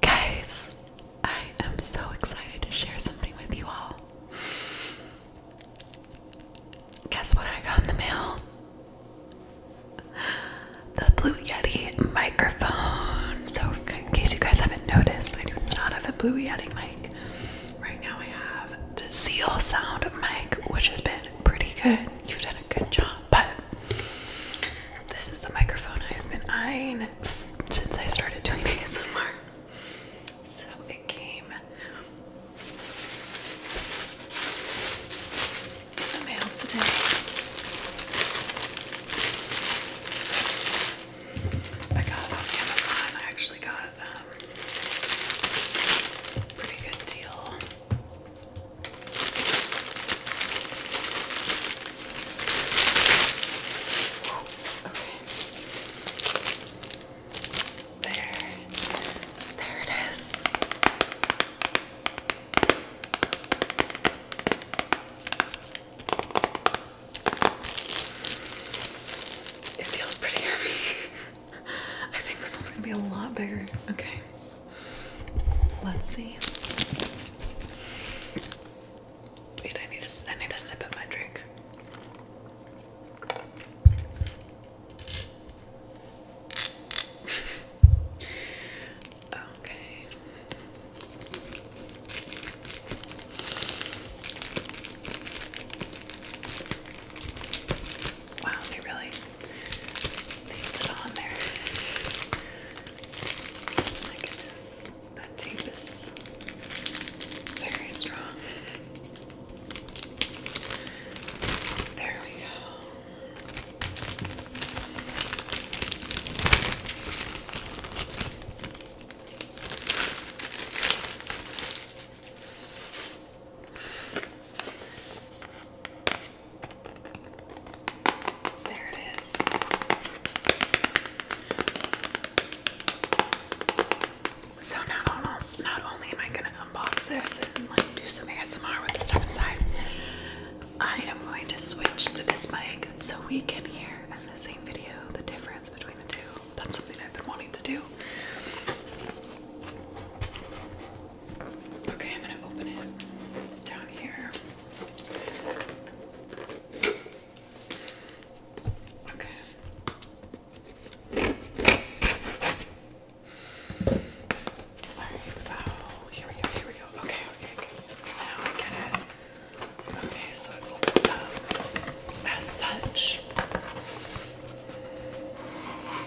Guys, I am so excited to share something with you all. Guess what I got in the mail? The Blue Yeti microphone. So, in case you guys haven't noticed, I do not have a Blue Yeti mic. Right now, I have the Seal Sound mic, which has been pretty good. You've done a good job, but this is the microphone I have been eyeing since I started doing ASMR. So it came in the mail today. I got it on Amazon. I actually got um pretty good deal. There. There it is. It feels pretty heavy. I think this one's gonna be a lot bigger. Okay. Let's see. Wait, I need to. sip at my drink. okay. Wow, really sealed it on there. Oh my goodness, that tape is very strong. There we go. There it is. So not not only am I gonna unbox this and like do some ASMR with the stuff inside, I am going to switch to this mic so we can hear in the same video the difference between the two. That's something I've been wanting to do. Okay, I'm going to open it down here. Okay. Alright, oh, here we go, here we go. Okay, okay, okay. Now I get it. Okay, so it opens up as such.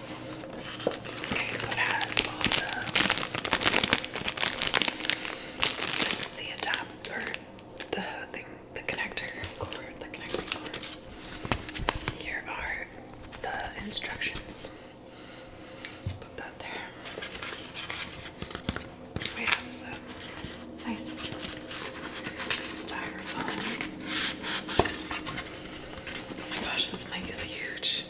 Okay, so it has all the. This is the adapter, the thing, the connector cord, the connector cord. Here are the instructions. Put that there. We have some nice styrofoam. Oh my gosh, this mic is huge.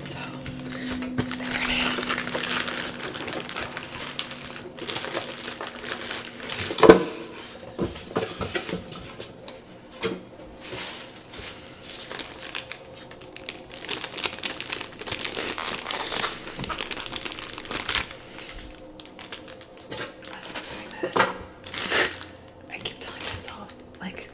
So there it I keep telling myself, like,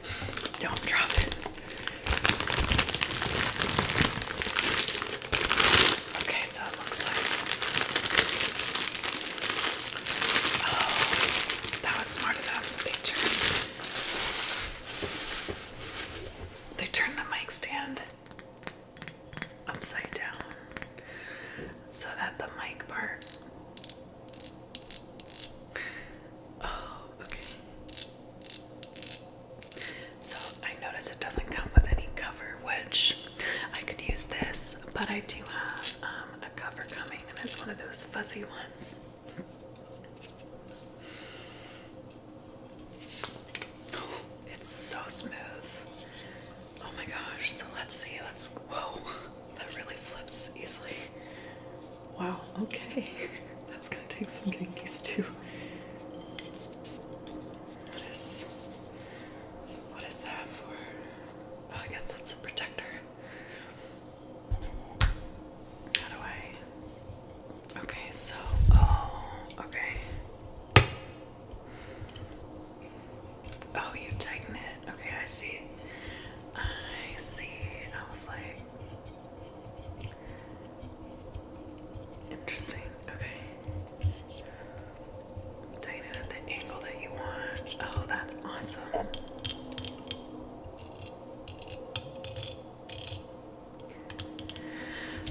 don't drop it. Okay, so it looks like. Oh, that was smart of them. They turned, they turned the mic stand upside down so that the mic part. Oh, okay. So I notice it doesn't come with any cover, which I could use this, but I do have um, a cover coming, and it's one of those fuzzy ones. it's so smooth. Oh my gosh, so let's see. Let's. Whoa, that really flips easily. Wow, okay. That's gonna take some getting used to. What is what is that for? Oh I guess that's a protector. How do I Okay, so oh okay. Oh, you tighten it. Okay, I see. I see. I was like, Interesting. Okay. Tighten at the angle that you want. Oh, that's awesome.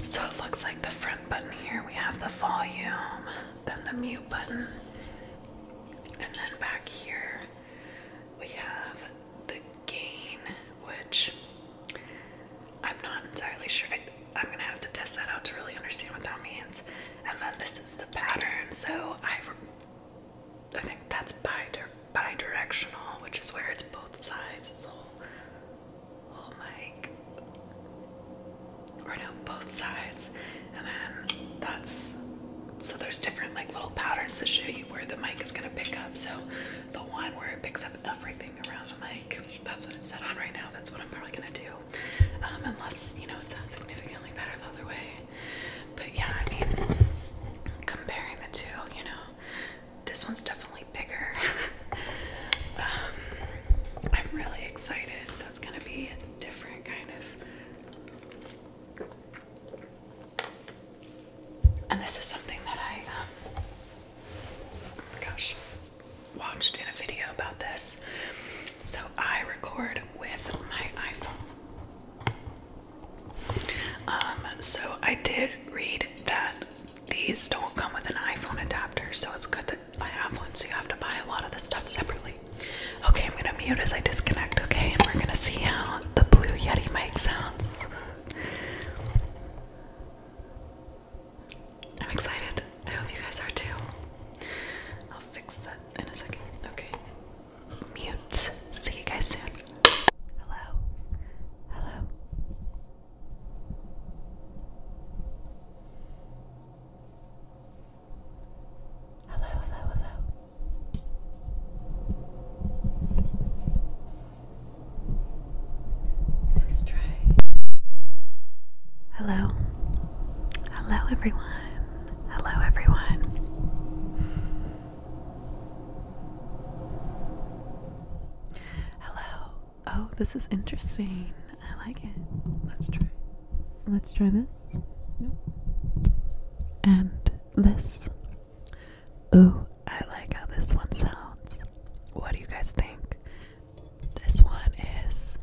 So it looks like the front button here, we have the volume, then the mute button, and then back here we have the gain, which I'm not entirely sure. I, am gonna have to test that out to really understand what that means. And then this is the pattern, so I, I think that's bi directional which is where it's both sides. It's whole, whole mic, or no, both sides. And then that's so there's different like little patterns that show you where the mic is going to pick up. So the one where it picks up everything around the mic, that's what it's set on right now. That's what I'm probably going to do. Um, unless, you know, it sounds significantly better the other way. But yeah, I mean, comparing the two, you know, this one's definitely bigger. Um, I'm really excited. So it's going to be a different kind of and this is something that I, um, oh my gosh, watched in a video about this. So I record with my iPhone. Um, so I did read that these don't come with an iPhone adapter, so it's good that I have one, so you have to buy a lot of the stuff separately. Okay, I'm gonna mute as I disconnect, okay? And we're gonna see how the blue Yeti mic sounds. I'm excited. I hope you guys are too. I'll fix that in a second. Okay. Mute. See you guys soon. Hello. Hello. Hello, hello, hello. Let's try. Hello. Hello, everyone. Hello, everyone. Hello. Oh, this is interesting. I like it. Let's try. Let's try this. And this. Ooh, I like how this one sounds. What do you guys think? This one is.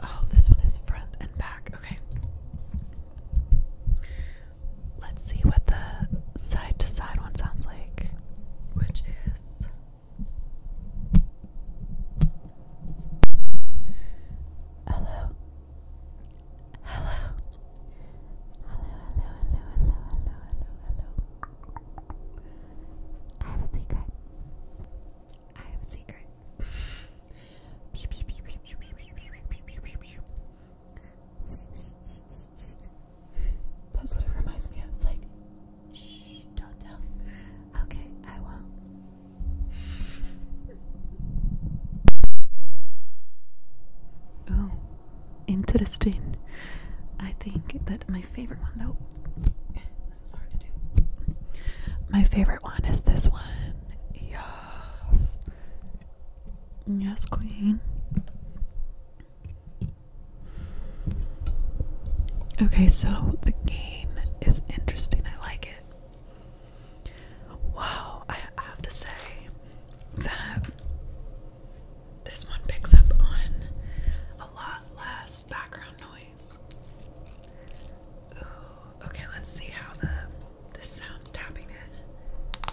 Oh, this one is front and back. Okay. Let's see what the side to side one sounds like, which is. Hello. Hello. Hello, hello, hello, hello, hello, I have a secret. I have a secret. That's what it reminds me of. Like, Shh, don't tell. Okay, I won't. Oh, interesting. I think that my favorite one, though, My favorite one is this one. Yes. Yes, Queen. Okay, so the game is interesting. I like it. Wow, I have to say that this one picks up on a lot less background noise. okay, let's see how the this sounds tapping it.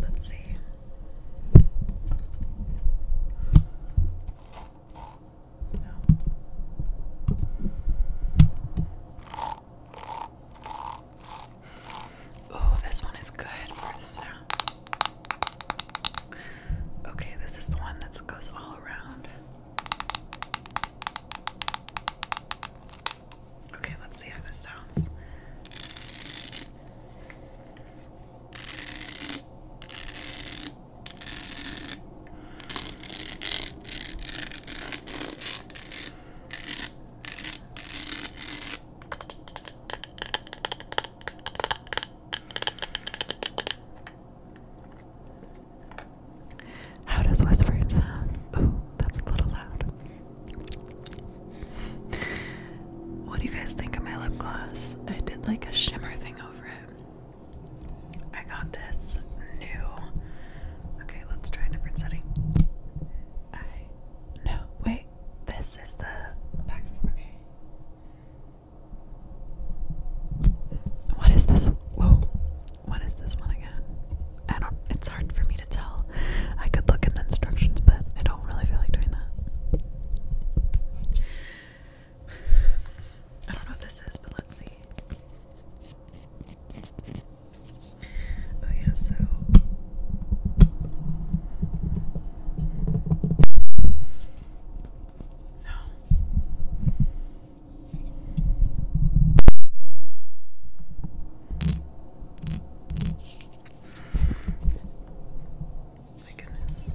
Let's see. No. Oh, this one is good for the sound. Okay, this is the one that goes all around. Okay, let's see how this sounds. How does whispering sound? Ooh, that's a little loud. What do you guys think of my lip gloss? I did like a shimmer thing over it. I got this new. Okay, let's try a different setting. No, wait. This is the back. Okay. What is this? Whoa. What is this one again? I don't, it's hard for me to tell. I could look in the instructions, but I don't really feel like doing that. I don't know what this is, but let's see. Oh, yeah, so. No. My goodness.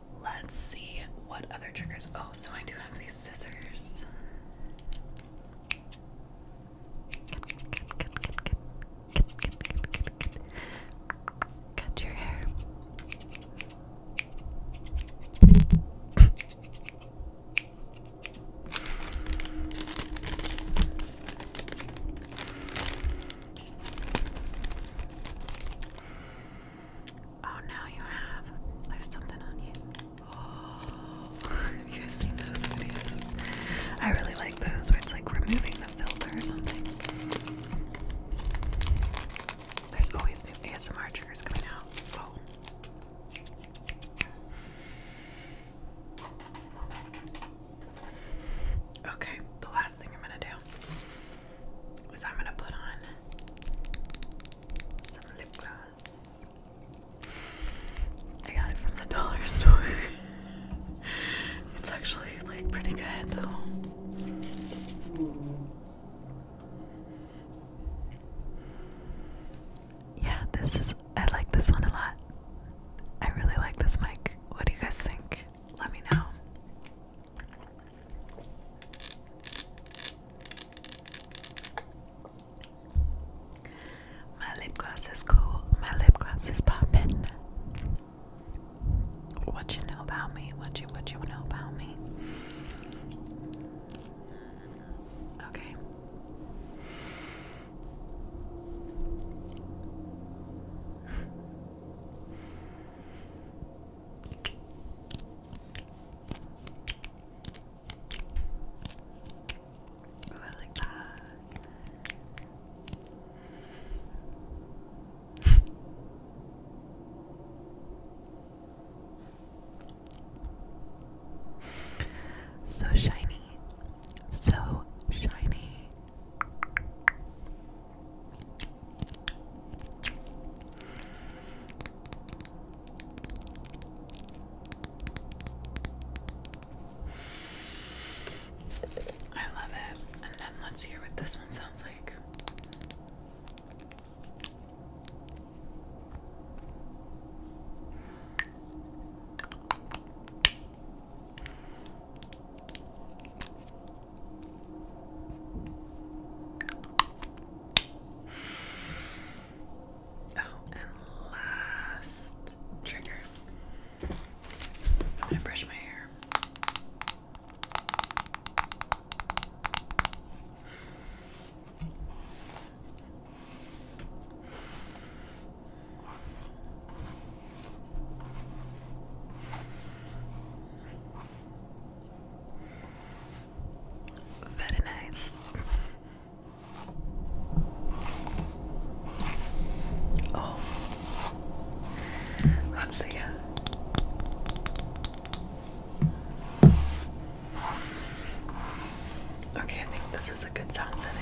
Let's see what other triggers. Oh, so I do have these scissors. Cut your hair. Oh, now you have. There's something on you. have oh, you guys seen those videos? I really like those where it's like removing the filter or something. There's always new ASMR triggers coming out. Okay, the last thing I'm gonna do is I'm gonna put on some lip gloss. I got it from the dollar store. it's actually like pretty good Yeah, this is I like this one a lot. I really like this mic. What do you guys think? let me know. My lip gloss is cool. My lip gloss is popping. What you know about me? What you what you know about me? Okay. I like that. so shiny so shiny. I love it. And then let's hear what this one sounds like. Oh, and last trigger. I'm gonna brush my hair. Very nice. Oh, let's see. Okay, I think this is a good sound setting.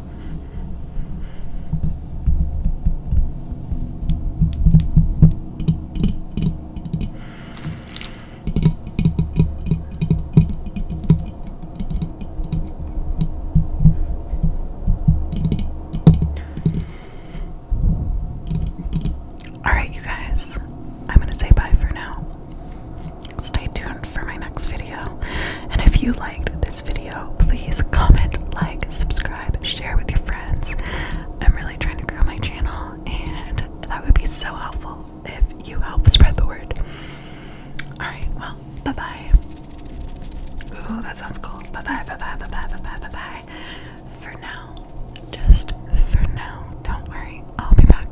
All right, you guys, I'm going to say bye for now stay tuned for my next video. And if you liked this video, please comment, like, subscribe, share with your friends. I'm really trying to grow my channel, and that would be so helpful if you help spread the word. Alright, well, bye bye. Ooh, that sounds cool. Bye bye, bye bye, bye bye, bye bye, bye bye. For now, just for now, don't worry, I'll be back.